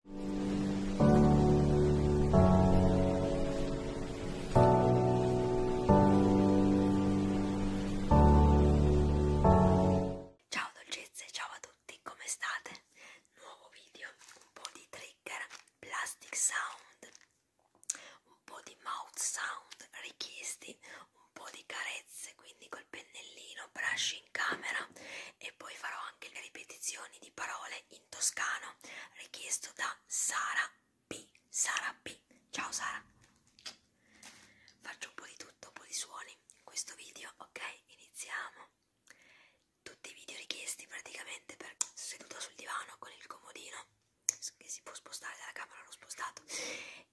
Ciao dolcezze, ciao a tutti, come state? Nuovo video, un po' di trigger, plastic sound, un po' di mouth sound richiesti, un po' di carezze, quindi col pennellino, brushing in camera e poi farò anche le ripetizioni di parole in toscano richiesto da Sara P. Sara P. Ciao Sara. Faccio un po' di tutto, un po' di suoni in questo video, ok? Iniziamo. Tutti i video richiesti praticamente per seduta sul divano con il comodino che si può spostare dalla camera, l'ho spostato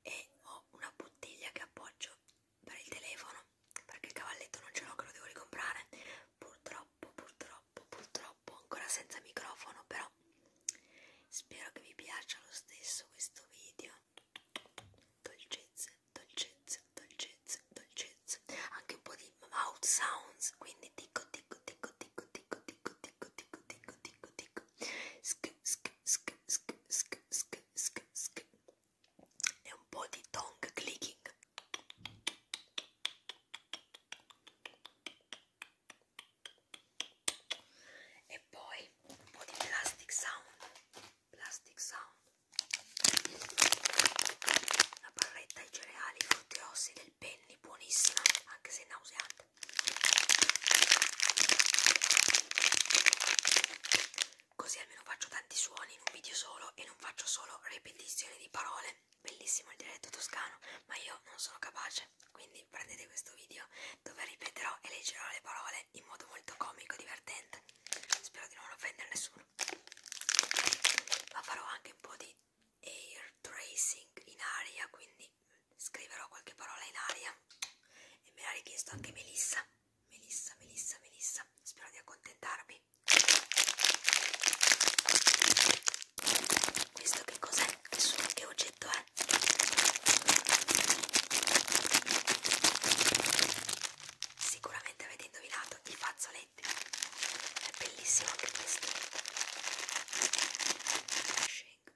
e ho una bottiglia che appoggio per il telefono perché il cavalletto non ce l'ho che lo devo ricomprare purtroppo purtroppo purtroppo ancora senza microfono però spero che vi piaccia lo stesso questo video dolcezze dolcezze dolcezze dolcezze anche un po' di mouth sounds quindi ticco ticco ticco ticco ticco ticco ticco ticco ticco ticco ticco sk sk sk sk sk sk sk sk e un po' di tongue clicking e poi un po' di plastic sound plastic sound una barretta ai cereali frutti e ossi del penny buonissima anche se nauseante così almeno faccio tanti suoni in un video solo e non faccio solo ripetizioni di parole bellissimo il dialetto toscano ma io non sono capace quindi prendete questo video dove ripeterò e leggerò le parole in modo molto comico e divertente spero di non offendere nessuno ma farò anche un po' di air tracing in aria quindi scriverò qualche parola in aria e me l'ha richiesto anche Melissa Melissa, Melissa, Melissa, spero di accontentarvi. Questo che cos'è? Che, che oggetto è? Sicuramente avete indovinato i fazzoletti. È bellissimo anche questo.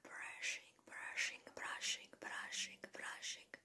Brushing, brushing, brushing, brushing, brushing, brushing.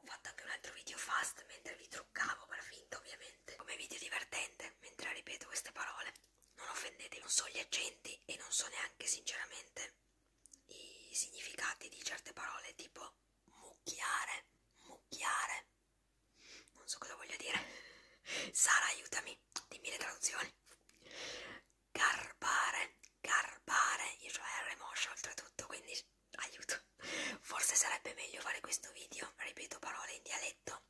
Ho fatto anche un altro video fast mentre vi truccavo, per finta ovviamente, come video divertente, mentre ripeto queste parole. Non offendetevi, non so gli accenti e non so neanche sinceramente i significati di certe parole, tipo mucchiare, mucchiare, non so cosa voglio dire. Sara aiutami, dimmi le traduzioni garbare, garbare, io cioè il remoscio oltretutto, quindi aiuto. Forse sarebbe meglio fare questo video, ripeto parole in dialetto,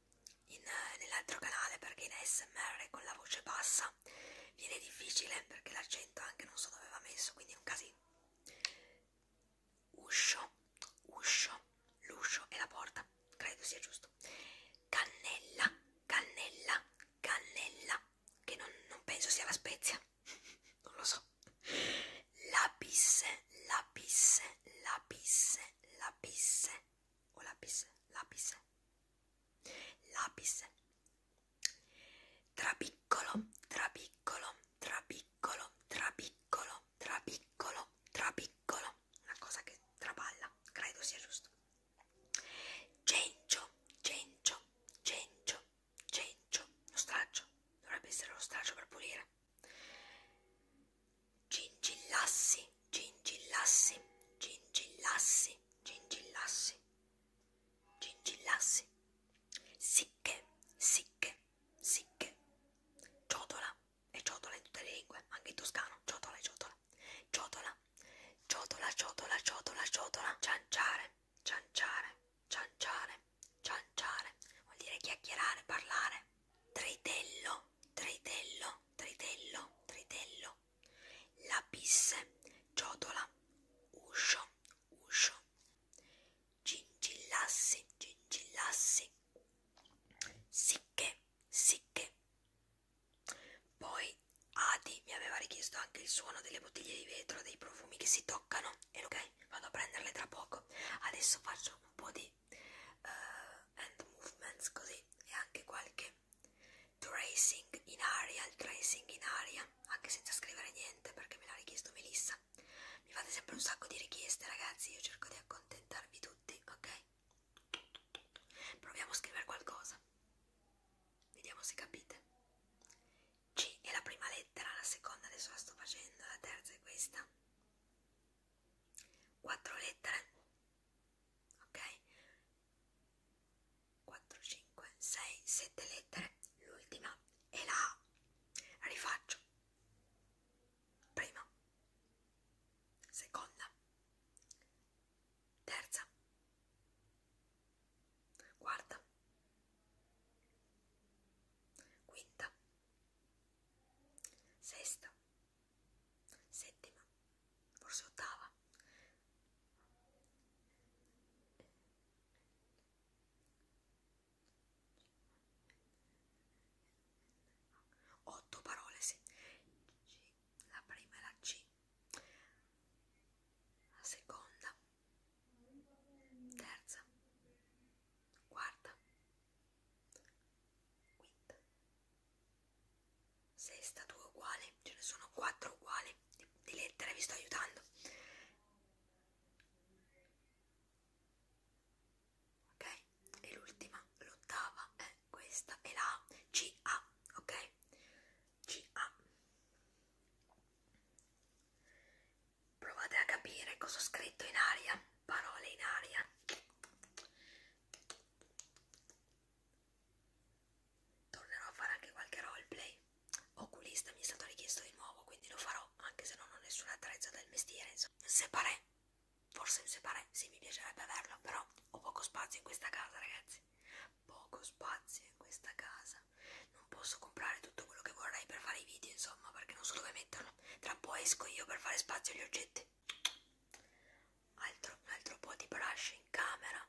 nell'altro canale perché in ASMR con la voce bassa viene difficile perché l'accento anche non so dove va messo, quindi è un casino. Uscio, uscio, l'uscio e la porta, credo sia giusto. Cannella, cannella, cannella, che non, non penso sia la Spezia, non lo so. La pisse, la pisse, la pisse, la pisse, o la pisse, la pisse, la pisse. Trapiccolo, trapiccolo, trapiccolo, trapiccolo, trapiccolo, trapiccolo. Una cosa che traballa, credo sia giusto. Cencio, cencio, cencio, Cencio, lo straccio, dovrebbe essere lo straccio per pulire. Gingillassi, gingillassi, gingillassi, gingillassi, gingillassi. Sicche, sicche, sicche. Ciotola, e ciotola in tutte le lingue, anche in toscano, ciotola e ciotola. Ciotola, ciotola, ciotola, ciotola, ciotola, cianciare cianciare, cianciare, cianciare, vuol dire chiacchierare, parlare. Tritello, tritello, tritello, tritello. Lapisse, ciotola, uscio, uscio. Gingillassi, gingillassi. Sicche, sicche. Poi poi Adi mi aveva richiesto anche il suono delle bottiglie di vetro, dei profumi che si toccano. E ok, vado a prenderle tra poco. Adesso faccio un po' di uh, hand movements così e anche qualche tracing in aria, il tracing in aria, anche senza scrivere niente perché me l'ha richiesto Melissa. Mi fate sempre un sacco di richieste, ragazzi, io cerco di accontentarvi tutti, ok? Proviamo a scrivere qualcosa. Vediamo se capite. C è la prima lettera, la seconda adesso la sto facendo, la terza è questa. Quattro lettere. Ok? 4, 5, 6, 7 lettere. L'ultima è la A. Rifaccio. Prima. Seconda terza, quarta, quinta, sesta, settima, forse ottava. Otto parole, sì. La prima è la C seconda, terza, quarta, quinta, sesta, due uguali, ce ne sono quattro uguali di, di lettere, vi sto aiutando. Ok? E l'ultima, l'ottava è questa, è la C A, ok? CA. Provate a capire cosa ho scritto in aria, parole in aria. Tornerò a fare anche qualche roleplay. Oculista mi è stato richiesto di nuovo, quindi lo farò, anche se non ho nessuna attrezza del mestiere. Insomma. Separé, forse un separé, sì mi piacerebbe averlo, però ho poco spazio in questa casa ragazzi poco spazio in questa casa. Non posso comprare tutto quello che vorrei per fare i video, insomma, perché non so dove metterlo. Tra po' esco io per fare spazio agli oggetti. Altro, un altro po' di brush in camera,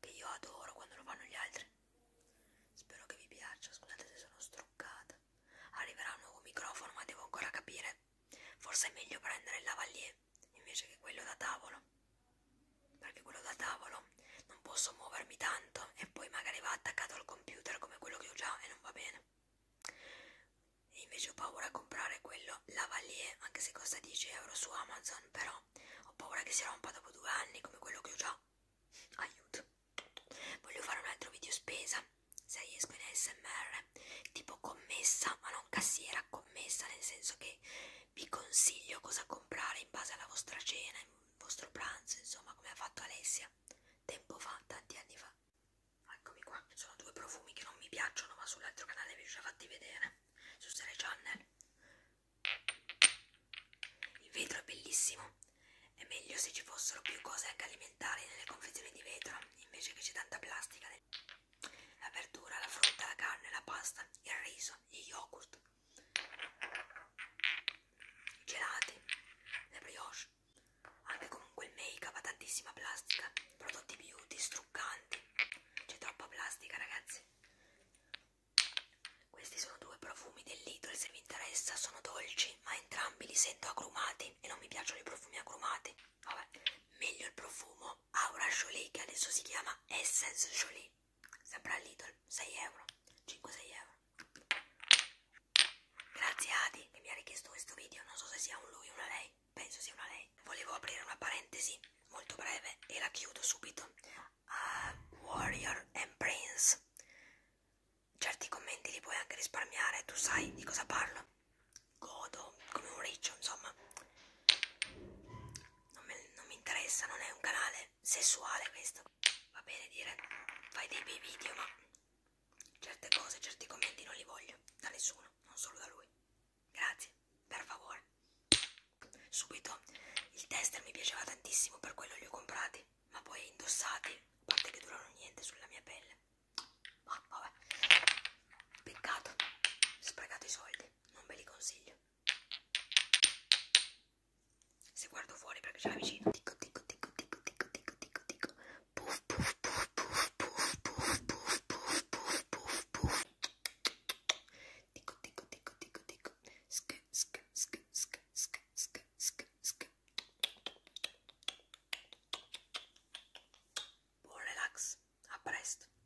che io adoro quando lo fanno gli altri. Spero che vi piaccia, scusate se sono struccata. Arriverà un nuovo microfono, ma devo ancora capire. Forse è meglio prendere il lavalier invece che quello da tavolo perché quello da tavolo non posso muovermi tanto e poi magari va attaccato al computer come quello che ho già e non va bene e invece ho paura a comprare quello lavalier anche se costa 10 euro su Amazon però ho paura che si rompa dopo due anni come quello che ho già aiuto voglio fare un altro video spesa se riesco in ASMR tipo commessa ma non cassiera commessa nel senso che vi consiglio cosa comprare in base alla vostra cena, il vostro pranzo, insomma, come ha fatto Alessia tempo fa, tanti anni fa. Eccomi qua, sono due profumi che non mi piacciono, ma sull'altro canale vi ho già fatti vedere, su Sere Channel. Il vetro è bellissimo, è meglio se ci fossero più cose anche alimentari nelle confezioni di vetro, invece che c'è tanta plastica. Nel la verdura, la frutta, la carne, la pasta, il riso, gli yogurt, i gelati, le brioche, anche comunque il make-up ha tantissima plastica, prodotti beauty, struccanti, c'è troppa plastica ragazzi. Questi sono due profumi dell'Idol, se vi interessa sono dolci, ma entrambi li sento agrumati e non mi piacciono i profumi agrumati. Vabbè, meglio il profumo Aura Jolie che adesso si chiama Essence Jolie sempre a Lidl 6 euro 5-6 euro grazie Adi che mi ha richiesto questo video non so se sia un lui o una lei penso sia una lei volevo aprire una parentesi molto breve e la chiudo subito a uh, Warrior and Prince certi commenti li puoi anche risparmiare tu sai di cosa parlo godo come un riccio insomma non, me, non mi interessa, non è un canale sessuale questo. Va bene dire fai dei bei video, ma certe cose, certi commenti non li voglio da nessuno, non solo da lui. Grazie, per favore. Subito il tester mi piaceva tantissimo, per quello li ho comprati, ma poi indossati, a parte che durano niente sulla mia pelle. Ma vabbè, peccato, sprecate i soldi, non ve li consiglio. Se guardo fuori perché c'è la vicino. Ticco, ticco, ticco, ticco, ticco, ticco, ticco, Puff, puff, puff, puff, puff, puff, puff, puff, puff, puff, puff. Ticco, ticco, ticco, ticco, ticco. Sk, sk, sk, sk, sk, sk, sk, sk. Buon relax, a presto.